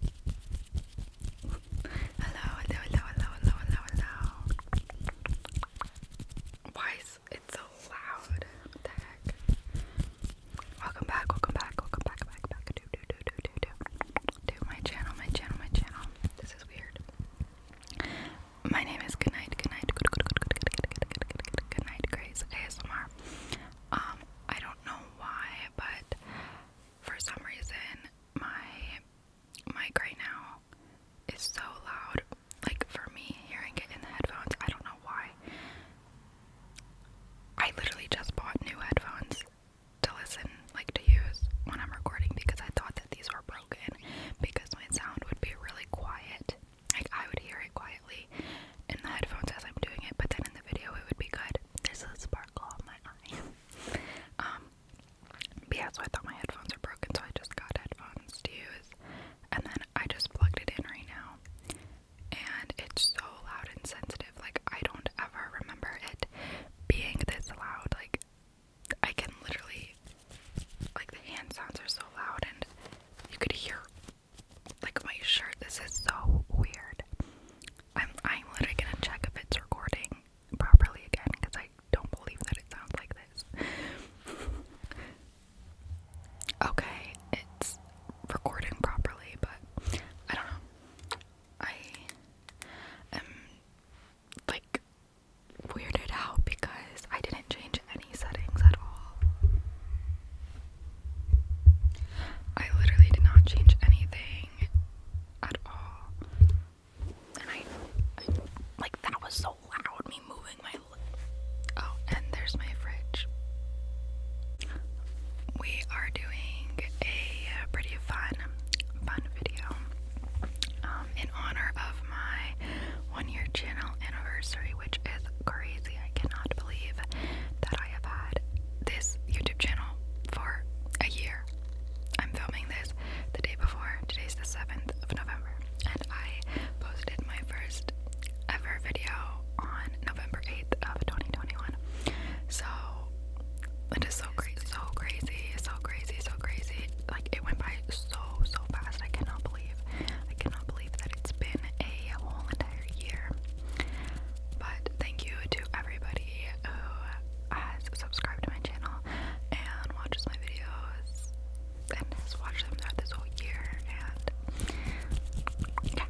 Hello, hello, hello, hello, hello, hello, hello. Why is it so loud? What the heck? Welcome back, welcome back, welcome back, back, back to, to, to, to, to, to, to my channel, my channel, my channel. This is weird. My name is Goodnight, Goodnight, Good, Good, Good, Good, Good, Good, Good, Good, Good, Goodnight Grace ASMR. Um, I don't know why, but for some reason my mic right now is so loud. Like for me hearing it in the headphones, I don't know why. I literally just bought new headphones to listen, like to use when I'm recording because I thought that these were broken because my sound would be really quiet. Like I would hear it quietly in the headphones as I'm doing it, but then in the video it would be good. There's a sparkle on my fine. um, but yeah, so I thought my headphones were broken, so I just got headphones to use, and then I just plugged it in right now, and it's so loud and sensitive. Like I don't ever remember it being this loud. Like I can literally, like the hand sounds are so loud, and you could hear like my shirt. This is so weird. I'm I'm literally gonna check if it's recording properly again because I don't believe that it sounds like this. okay, it's recording properly, but I don't know. I am like weirded out because I didn't change any settings at all. I literally did not change anything at all. And I, like that was so loud me moving my Oh, and there's my fridge. We are doing a pretty fun fun video um, in honor of my one year channel anniversary which is crazy. I cannot believe that I have had this YouTube channel for a year. I'm filming this the day before. Today's the 7th of November. And I posted my first ever video on November 8th of 2021. So it is so crazy, so crazy, so crazy, so crazy. Like it went by so so fast. I cannot believe. I cannot believe that it's been a whole but thank you to everybody who has subscribed to my channel and watches my videos and has watched them throughout this whole year. And yeah.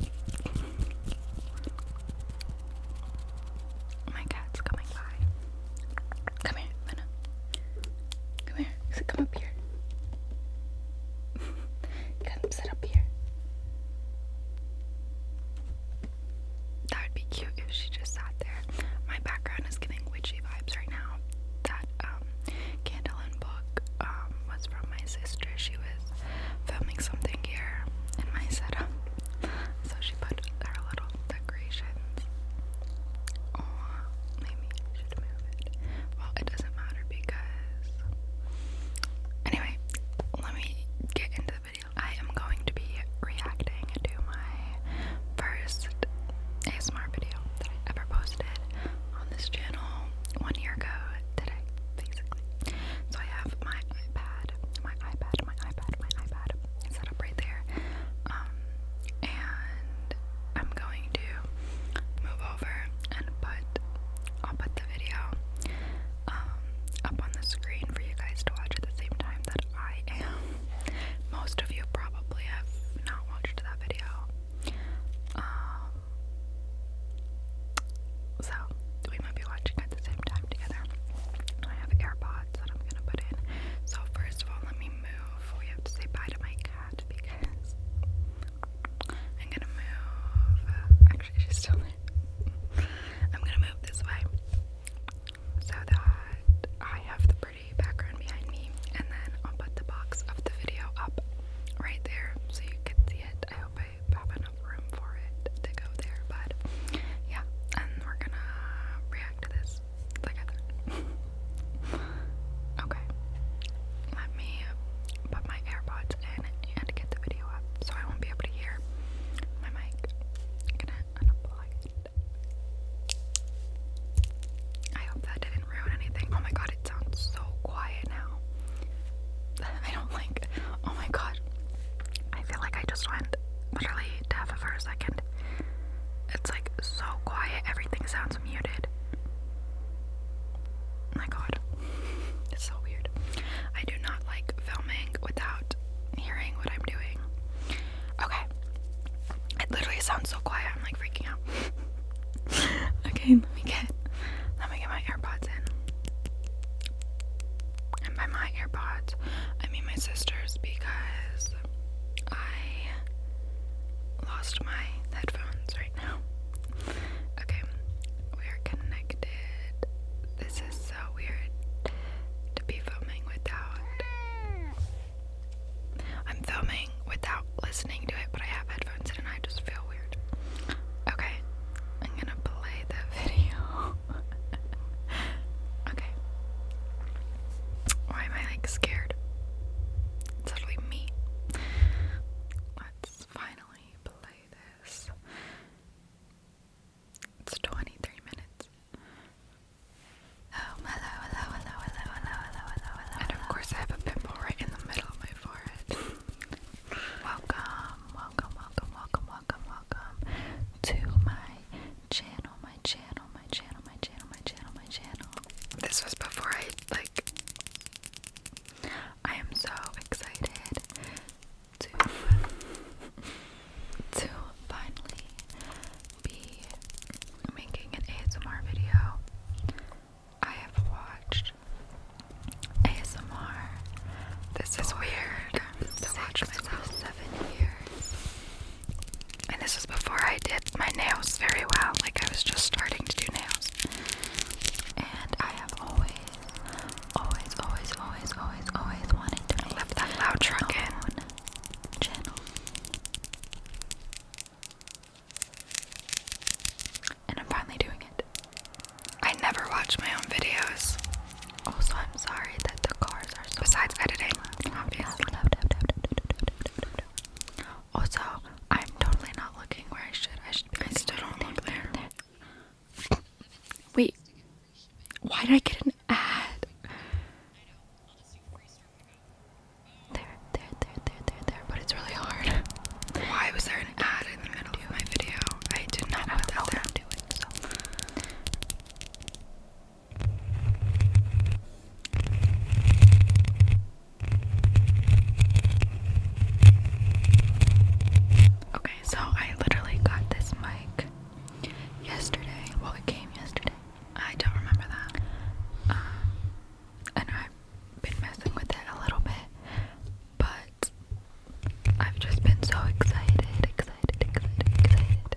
My cat's coming by. Come here, Minna. Come here. Come up here. come sit up here. That would be cute if she just sat there. My background is getting witchy vibes right now. That um, candle and book um, was from my sister. She was filming something here in my setup, so she put her little decorations. maybe I should move it. Well, it doesn't matter because. Anyway, let me get into I am going to be reacting to my first ASMR video that I ever posted on this channel one year ago today, basically. So I have my iPad, my iPad, my iPad, my iPad set up right there. Um, and I'm going to move over and put the video um, up on the screen for you guys to watch at the same time that I am. Most of you probably have not watched that video. Um, so, we might be watching at the same time together. I have AirPods that I'm gonna put in. So, first of all, let me move. We have to say bye to my cat because I'm gonna move. Actually, she's still I'm gonna move this way so that I have the pretty background behind me, and then I'll put the box of the video up right there so you can see it. I hope I have enough room for it to go there, but yeah, and we're gonna react to this together. okay, let me put my AirPods and get the video up, so I won't be able to hear my mic. I hope that didn't ruin anything. Oh my god, it sounds so quiet now. I don't like. Oh my god. I feel like I just went literally deaf for a second. It's like so quiet, everything sounds muted. My god. It's so weird. I do not like filming without hearing what I'm doing. Okay. It literally sounds so quiet. I'm like freaking out. okay, let me get let me get my AirPods in. And by my AirPods, I mean my sister's because I lost my headphones right now. Okay, we are connected. This is so weird to be filming without. I'm filming without listening to it, but I have headphones in and I just feel weird. Okay, I'm gonna play the video. okay. Why am I like scared? It's totally me. Let's finally play this. It's 23 minutes. And of course, I have a pimple right in the middle of my forehead. welcome, welcome, welcome, welcome, welcome, welcome to my channel, my channel, my channel, my channel, my channel, my channel. This was before I like. I am so excited to finally be making an ASMR video. I have watched ASMR. This is weird to watch myself seven years. And this was before I did my nails very well. Like I was just starting to do nails. And I have always always, always, always, always, always wanted to lift that loud truck channel. And I'm finally doing it. I never watch my own videos. Also, oh, I'm sorry that the cars are so Besides editing, Also, I'm totally not looking where I should. I stood on the still Wait, why did I get an ad? There, there, there, there, there, there, but it's really hard. Why was there an ad in the middle of my video? I did not know that there. I'm doing Okay, so I literally got this mic yesterday. Well, it came yesterday. I don't remember that. Um, and I've been messing with it a little bit, but I've just been so excited, excited, excited, excited.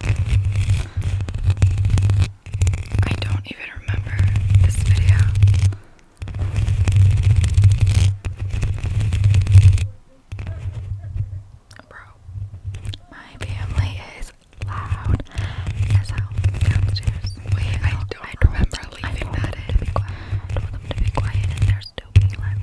I don't even remember this video. Bro, my family is loud as hell downstairs. Wait, I do I don't remember I do that in. To them to be quiet and they're still being loud.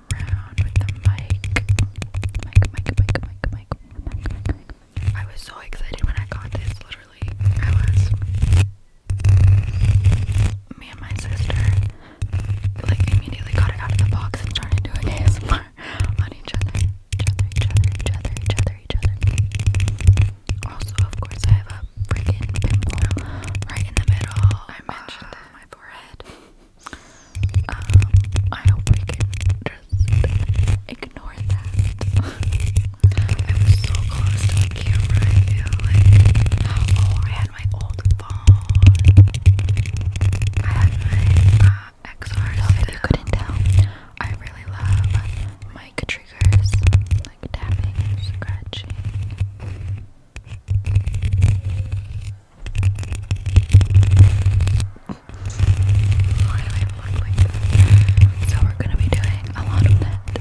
I was so excited when I got this, literally. I was. Me and my sister, like, immediately got it out of the box and started doing ASMR on each other. Each other, each other, each other, each other, Also, of course, I have a freaking pimple right in the middle. I mentioned it on my forehead. Um, I hope I can just ignore that. I'm so close to the camera, Oh, I had my old phone. I had my XR. So if you couldn't tell, I really love mic triggers, like tapping, scratching. Why do So we're gonna be doing a lot of that.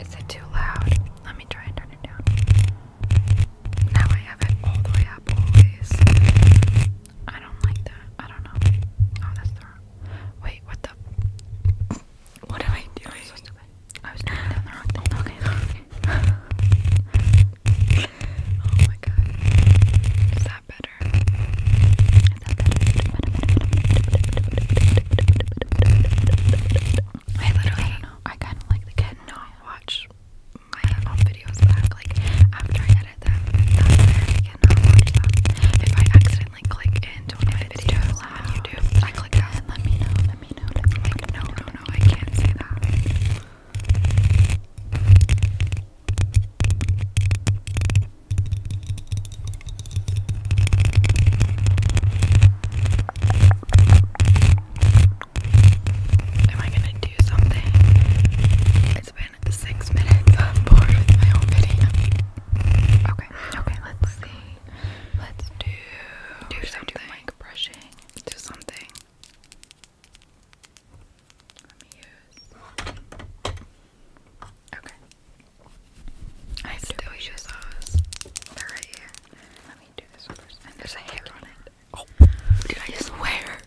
Is it too loud? Let me try and turn it down. Now I have it all the way up always. I don't like that. I don't know. Oh, that's wrong. Wait, what what am I doing? I'm so was doing down the wrong thing. okay. oh my god. Is that better? Is that better? I literally I do like the kid not watch my own videos back. Like after I edit them, I cannot watch them. If I accidentally like click into one of the videos on I click out. let me know. Let me know. like, No, no, no. I can't say that. Am I gonna do something? It's been six minutes. Okay, okay, let's see. Let's do do something. Do mic brushing. Do something. Let me use. Okay. I still use those. They're right here. Let me do this first. And there's a hair on it. Oh, did I swear?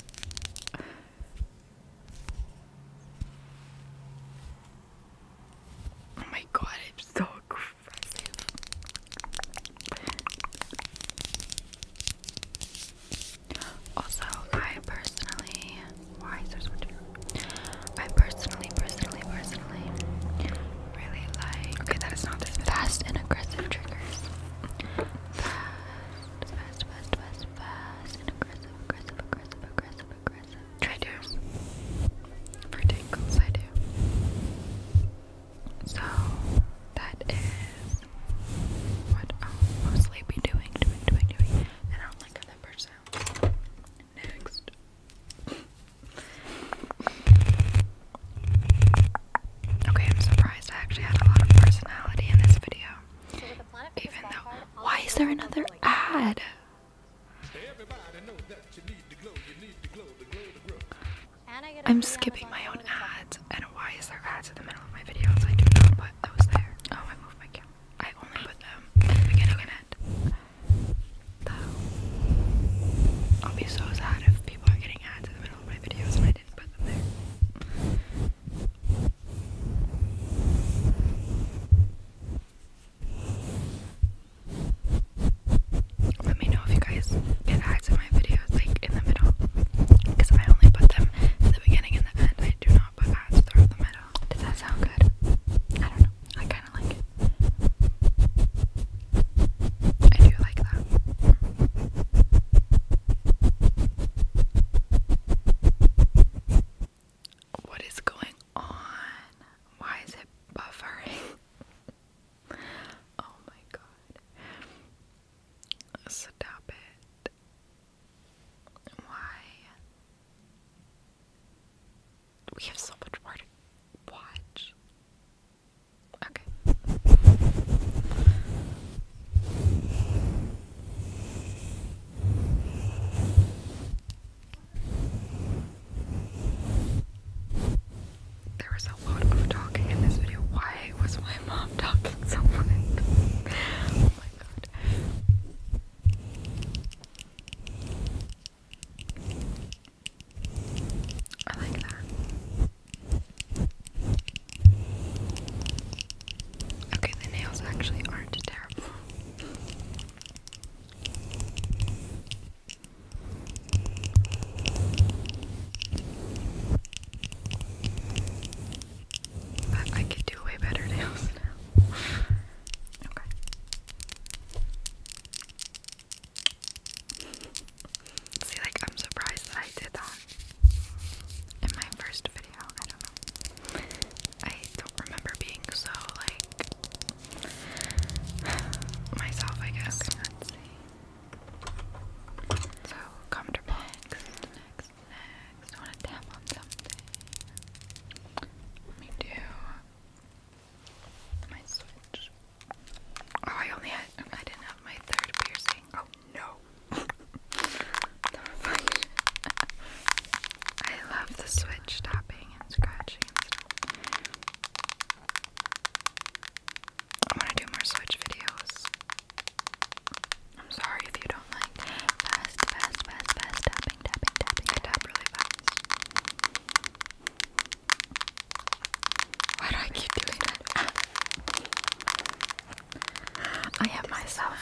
Oh my god, it's so aggressive. Also, I personally so I personally, personally, personally really like fast and aggressive triggers. Fast, fast, fast, fast, fast and aggressive, aggressive, aggressive, aggressive, aggressive. I do. For tingles, I do. So, that is what i mostly be doing, doing, doing, doing. And I do like how that Next. Okay, I'm surprised I actually had a lot of personality in this video. Even though, why is there another ad? I'm skipping my own ads. And why is there ads in the middle of my videos. I do not put those there. Oh, I moved my camera. I only put them at the beginning and end. Though, I'll be so sad if people are getting ads in the middle of my videos and I didn't put them there. Let me know if you guys get ads my videos, like in the middle, because I only put them at the beginning and the end. I do not put ads throughout the middle. Does that sound good? I don't know. I kind of like I do like that. What is going on? Why is it buffering? oh my god. Stop it. Why? We have so much more to Okay. There was a lot of talking in this video. Why was my mom talking so much? oh my god. I like that. Okay, the nails actually aren't terrible. I, I could do way better nails now. okay. See, like, I'm surprised that I did that in my first I don't know. I don't remember being so like myself. I guess. So comfortable. Next, next, next. want to tap on something. me do my switch. Oh, I only had. I didn't have my third piercing. Oh no. I love the switch tapping and scratching I want to do more switch videos. I'm sorry if you don't like fast, fast, fast, fast tapping, tapping, tapping. I really fast. Why do I keep doing that? I am myself.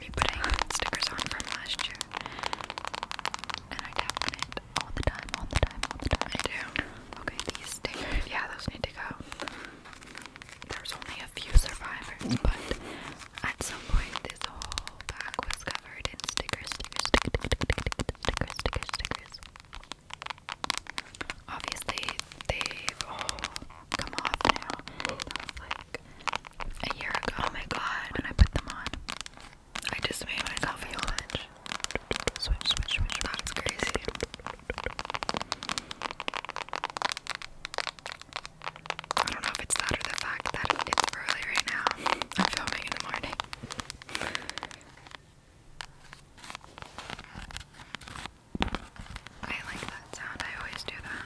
putting stickers on from last year. And I tap all the time, all the time, all the time. do. Okay, these stickers, yeah, those need to go. There's only a few survivors, but at some point this whole bag was covered in stickers, stickers, stickers, stickers, stickers, stickers. Obviously, they've all come off now. That like a year ago. Oh my god, when I put them on. I just made my coffee much. Switch, switch, switch. That's crazy. I don't know if it's that or the fact that it's early right now. I'm filming in the morning. I like that sound. I always do that.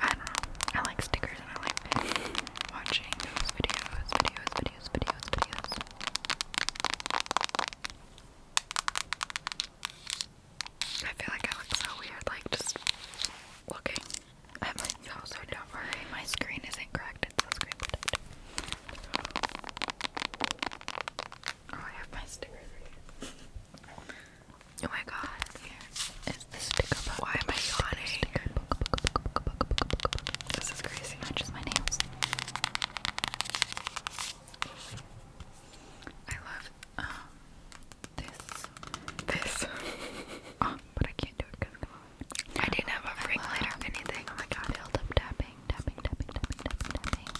I don't know. I like stickers and I like watching those videos, videos, videos, videos, videos. I feel like I look so weird, like just looking. I'm like, no, so don't worry, my screen isn't cracked, it's so screen protected. Oh, I have my stickers right here. Oh my god, here is the sticker book. Why am I yawning? This is crazy. Not just my nails. I love um this. This. oh, but I can't do it because I, I didn't have a break later or anything. Oh my god. Build up tapping, tapping, tapping, tapping, tapping.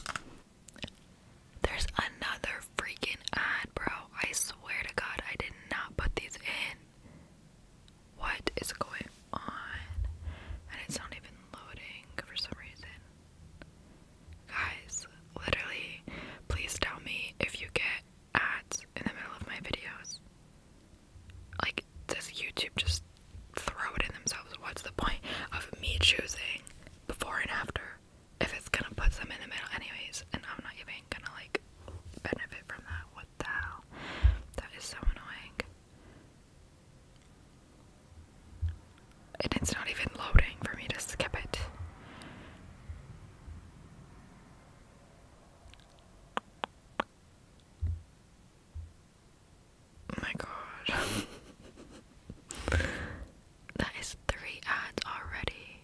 There's another freaking ad, bro. I swear to God, I did not put these in. What is going on? And it's not even loading for some reason. Guys, literally, please tell me if you get ads in the middle of my videos. Like, does YouTube just throw it in themselves? What's the point of me choosing before and after? if it's gonna put some in the middle anyways and I'm not even gonna like benefit from that. What the hell? That is so annoying. And it's not even loading for me to skip it. Oh my god. that is three ads already.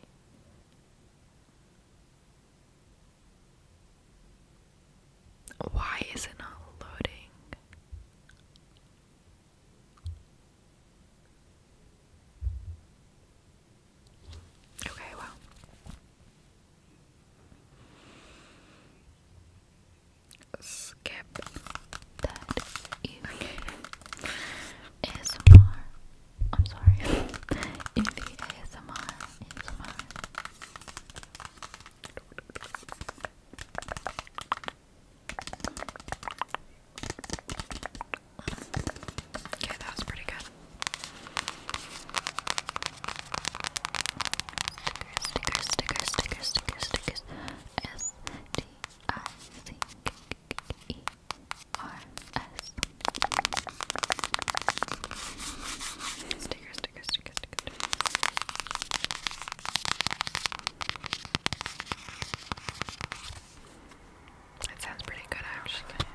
Why is it not loading? Okay, well. Skip that more I'm sorry. ASMR. Okay, that was pretty good. Stickers, stickers, stickers, stickers, stickers, stickers. S D I C K E R S. Sticker, sticker, sticker, sticker. That sounds pretty good, actually.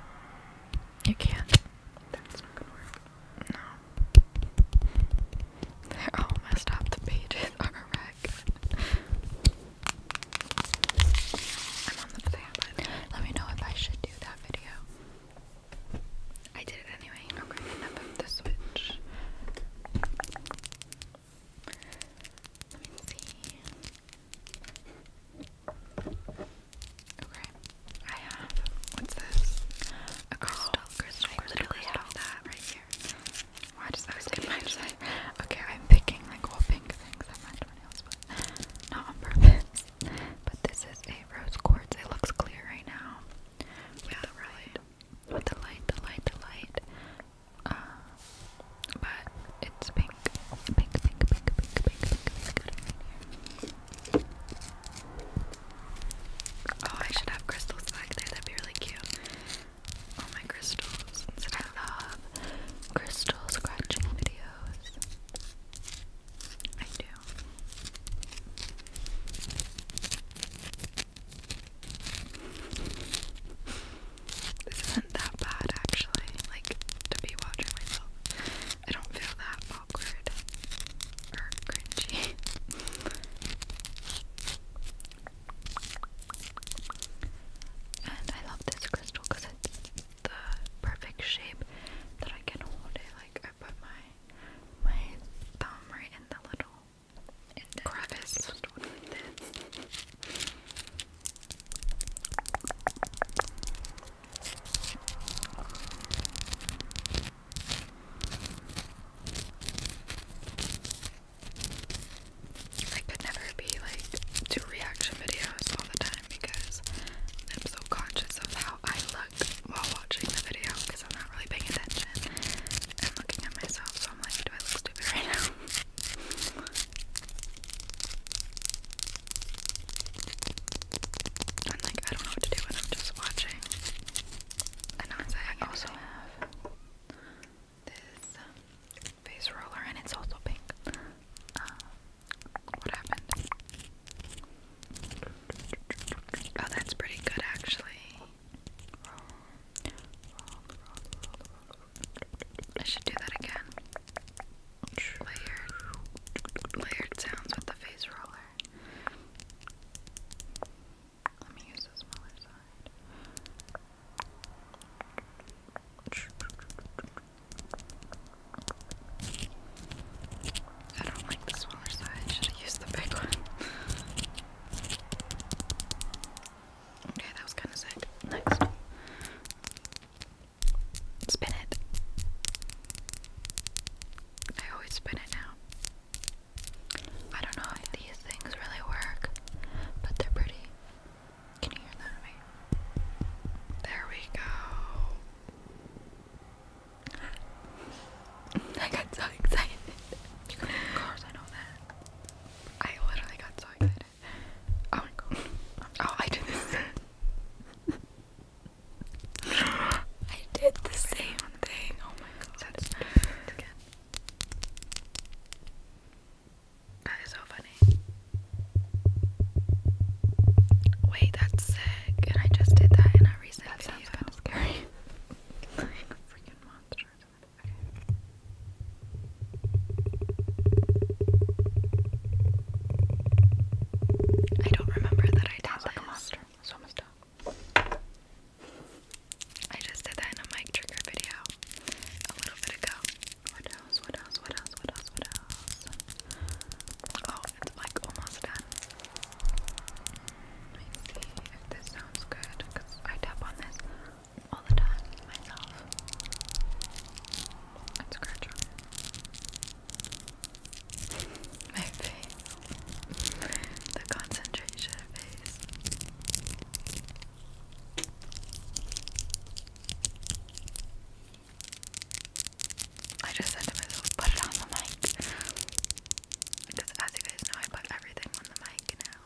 You can't. That's not gonna work. No. They're all messed up. The pages are a let me know if I should do that video. I did it anyway. Okay, the switch. Let me see. Okay, I have what's this? A crystal. Oh, literally have that right here. Why does that stick my side? Okay, I'm picking like all pink things not on purpose. but this is a rose quartz. It looks clear right now. yeah, the Light. the light, the light, the light. but it's pink. Pink, pink, pink, pink, pink, pink, oh, I should have crystals back there. That'd be really cute. Oh, my crystal since I love crystal scratching videos. I do. This isn't that bad actually, like to be watching myself. I don't feel that awkward or cringy. and I love this crystal because it's the perfect shape that I can hold it. Like I put my my thumb right in the little crevice I could never be like do reaction videos all the time because I'm so conscious of how I look while watching the video because I'm not really paying attention I'm looking at myself. So I'm like, do I look stupid right now? I'm like, I don't know what to do when I'm just watching. And I also have this face um, roller, and it's also pink. Uh, what happened? Oh, that's pretty good actually. I should do that again. Layered, layered sounds with the face roller. Let me use the smaller side. I don't like this smaller side. Should I use the big one? okay, that was kind of sick. Next. Spin it. I always spin it now. I don't know if these things really work, but they're pretty. Can you hear that? Wait. There we go. I got so excited. You can I know that. I literally got so excited. Oh my god. Oh, I did this. I did the same thing. Oh my god. again. That is so funny. Wait, that's sick. And I just did that in a recent video. That sounds scary. freaking monster. Okay. I don't remember that I did that. monster. It's almost done. I just did that in a mic trigger video a little bit ago. What? else? What else? What else? What else? What else? Oh, it's like almost done. Let if this sounds good because I tap on this all the time myself. It's scratch my face. the concentration face. I just said to myself, put it on the mic. Because as you guys know, I put everything on the mic now.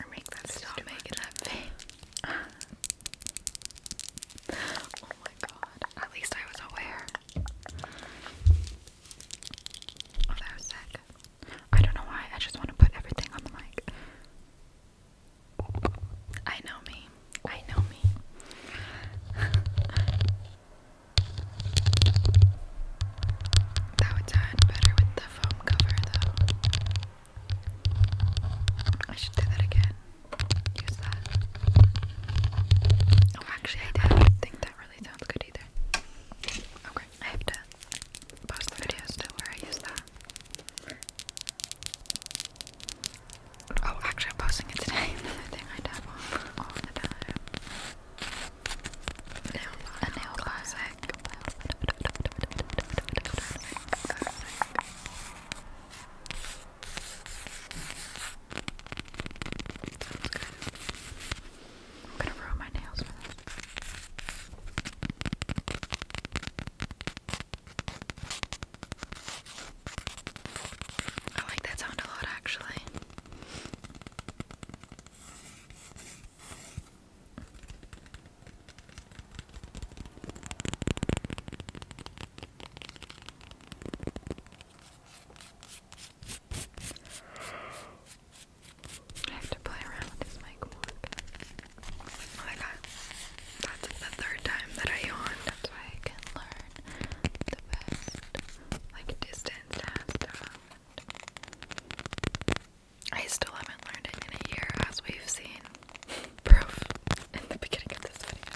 Or make that stop making that face. oh my god. At least I was aware. Oh, that was sick. I don't know why, I just want to put everything on the mic. I know me. I know me. that would sound better with the foam cover, though. I should do that again. Use that. Oh, actually, I don't think that really sounds good either. Okay, I have to post the video still where I use that. Oh, actually, I'm posting it today. Another thing I tap on all the time. a nail classic. I'm gonna ruin my nails for this. I like that sound a lot actually. I have to play around with this mic more. Like I, that's the third time that I yawned. That's why I can learn the best, like distance and I still haven't learned it in a year, as we've seen proof in the beginning of this video.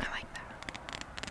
I like that.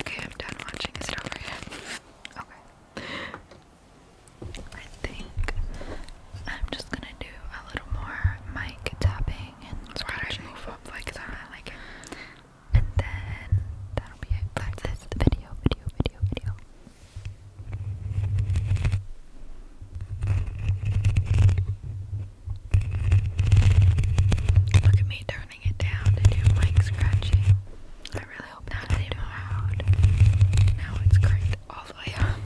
Okay, I'm done watching. Is it Okay. I think I'm just gonna do a little more mic tapping and scratching. move up like that. like And then that'll be it. That's it. Video, video, video, video. Look at me turning it down to do mic scratching. I really hope not that loud. Now it's cranked all the way up.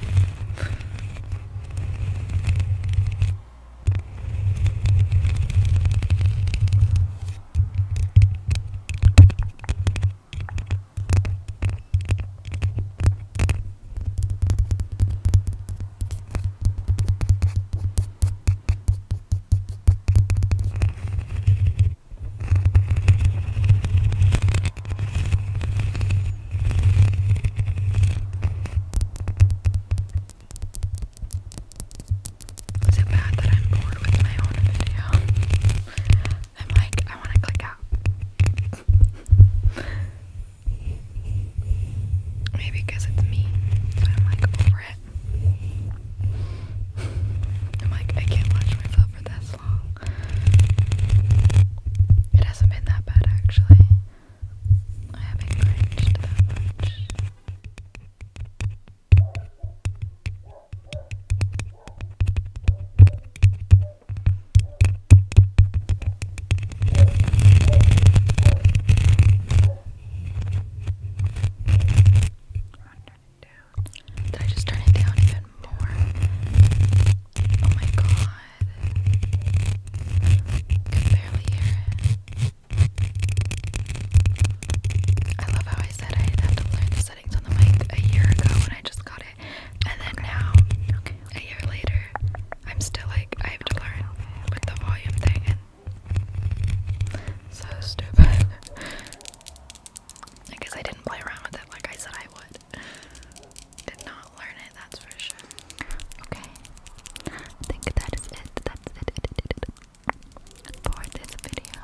Is it bad that I'm bored with my own video? I'm like, I want to click Maybe because it's me, but I'm like over it. I'm like, I can't watch myself for this long. It hasn't been that bad actually. I haven't cringed that much down. Did I just turn it down even more? Oh my god. can barely hear it. I love how I said I'd to learn this settings on the mic a year ago when I just got it, and then now, a year later, I'm still like I have to learn with the volume thing. so stupid. I guess I didn't play around with it like I said I would. Did not learn it, that's for sure. Okay. think that is it. That's it, it, it, it, it. for this video.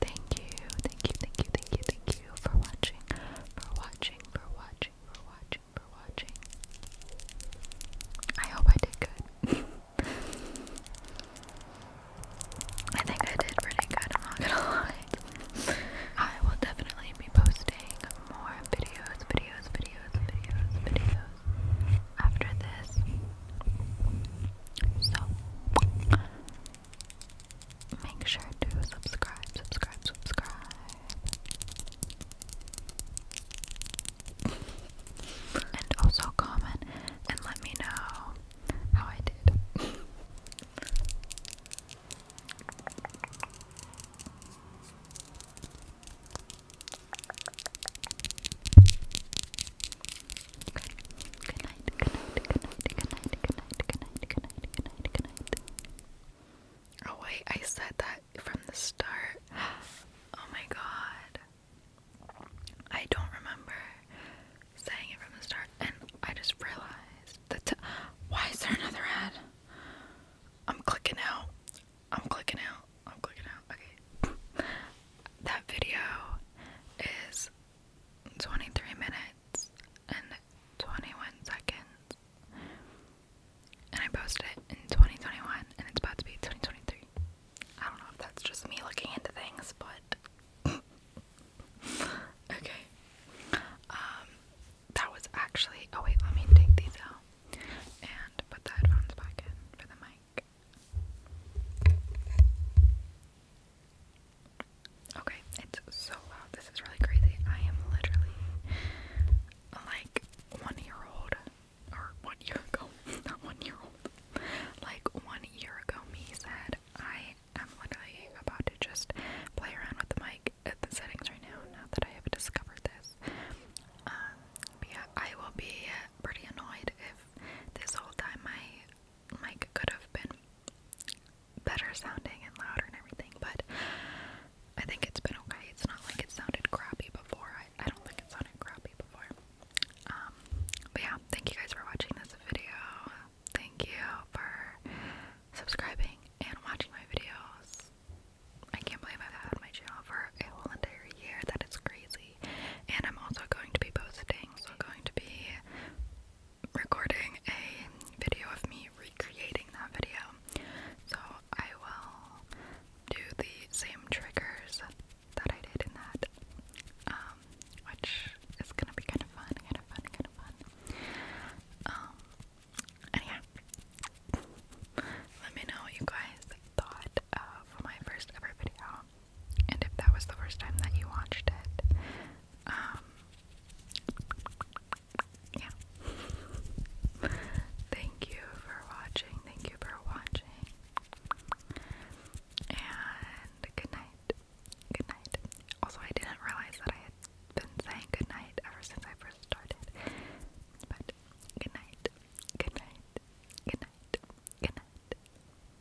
Thank you, thank you, thank you, thank you, thank you for watching, for watching, for watching, for watching, for watching. I hope I did good. I think I did pretty good, I'm not gonna lie. I will definitely be posting more videos, videos, videos, videos, videos after this. So Make sure to subscribe, subscribe, subscribe. and also comment and let me know how I did. Good night. Good night. Good night. Good night. Good night. Good night. Good night. Good night. Good night. Oh wait, I said that from the start. Oh my god. I don't remember saying it from the start, and I just realized that. Why is there another ad? I'm clicking out. I'm clicking out. I'm clicking out. Okay. That video is 23 minutes and 21 seconds. And I posted it in 2021 and it's about to be 2023. I don't know if that's just me looking into things, but. okay. Um, that was actually. Oh, wait, let me take these out and put the headphones back in for the mic. Okay, it's so loud. This is really crazy. I am literally like one year old, or one year ago, not one year old. Like one year ago, me said I am literally about to just play around with the mic the settings right now. Now that I have discovered this, um, yeah, I will be pretty annoyed if this whole time my mic could have been better sounding and louder and everything, but I think it's been okay. It's not like it sounded crappy before. I, I don't think it sounded crappy before. Um, but yeah, thank you guys for watching this video. Thank you for subscribing and watching my videos. I can't believe I've had my channel for a whole entire year. That is crazy. And I'm also going to be posting, so going to be recording a video of me recreating that video. So I will do the same triggers that I did in that, um, which is gonna be kind of fun, kind of fun, kind of fun. Um, and yeah, let me know what you guys thought of my first ever video and if that was the first time that you watched it, um, yeah. Thank you for watching. Thank you for watching. And good night. Good night. Also, I didn't realize that I had been saying good night ever since I first started. But good night. Good night. Good night. Good night.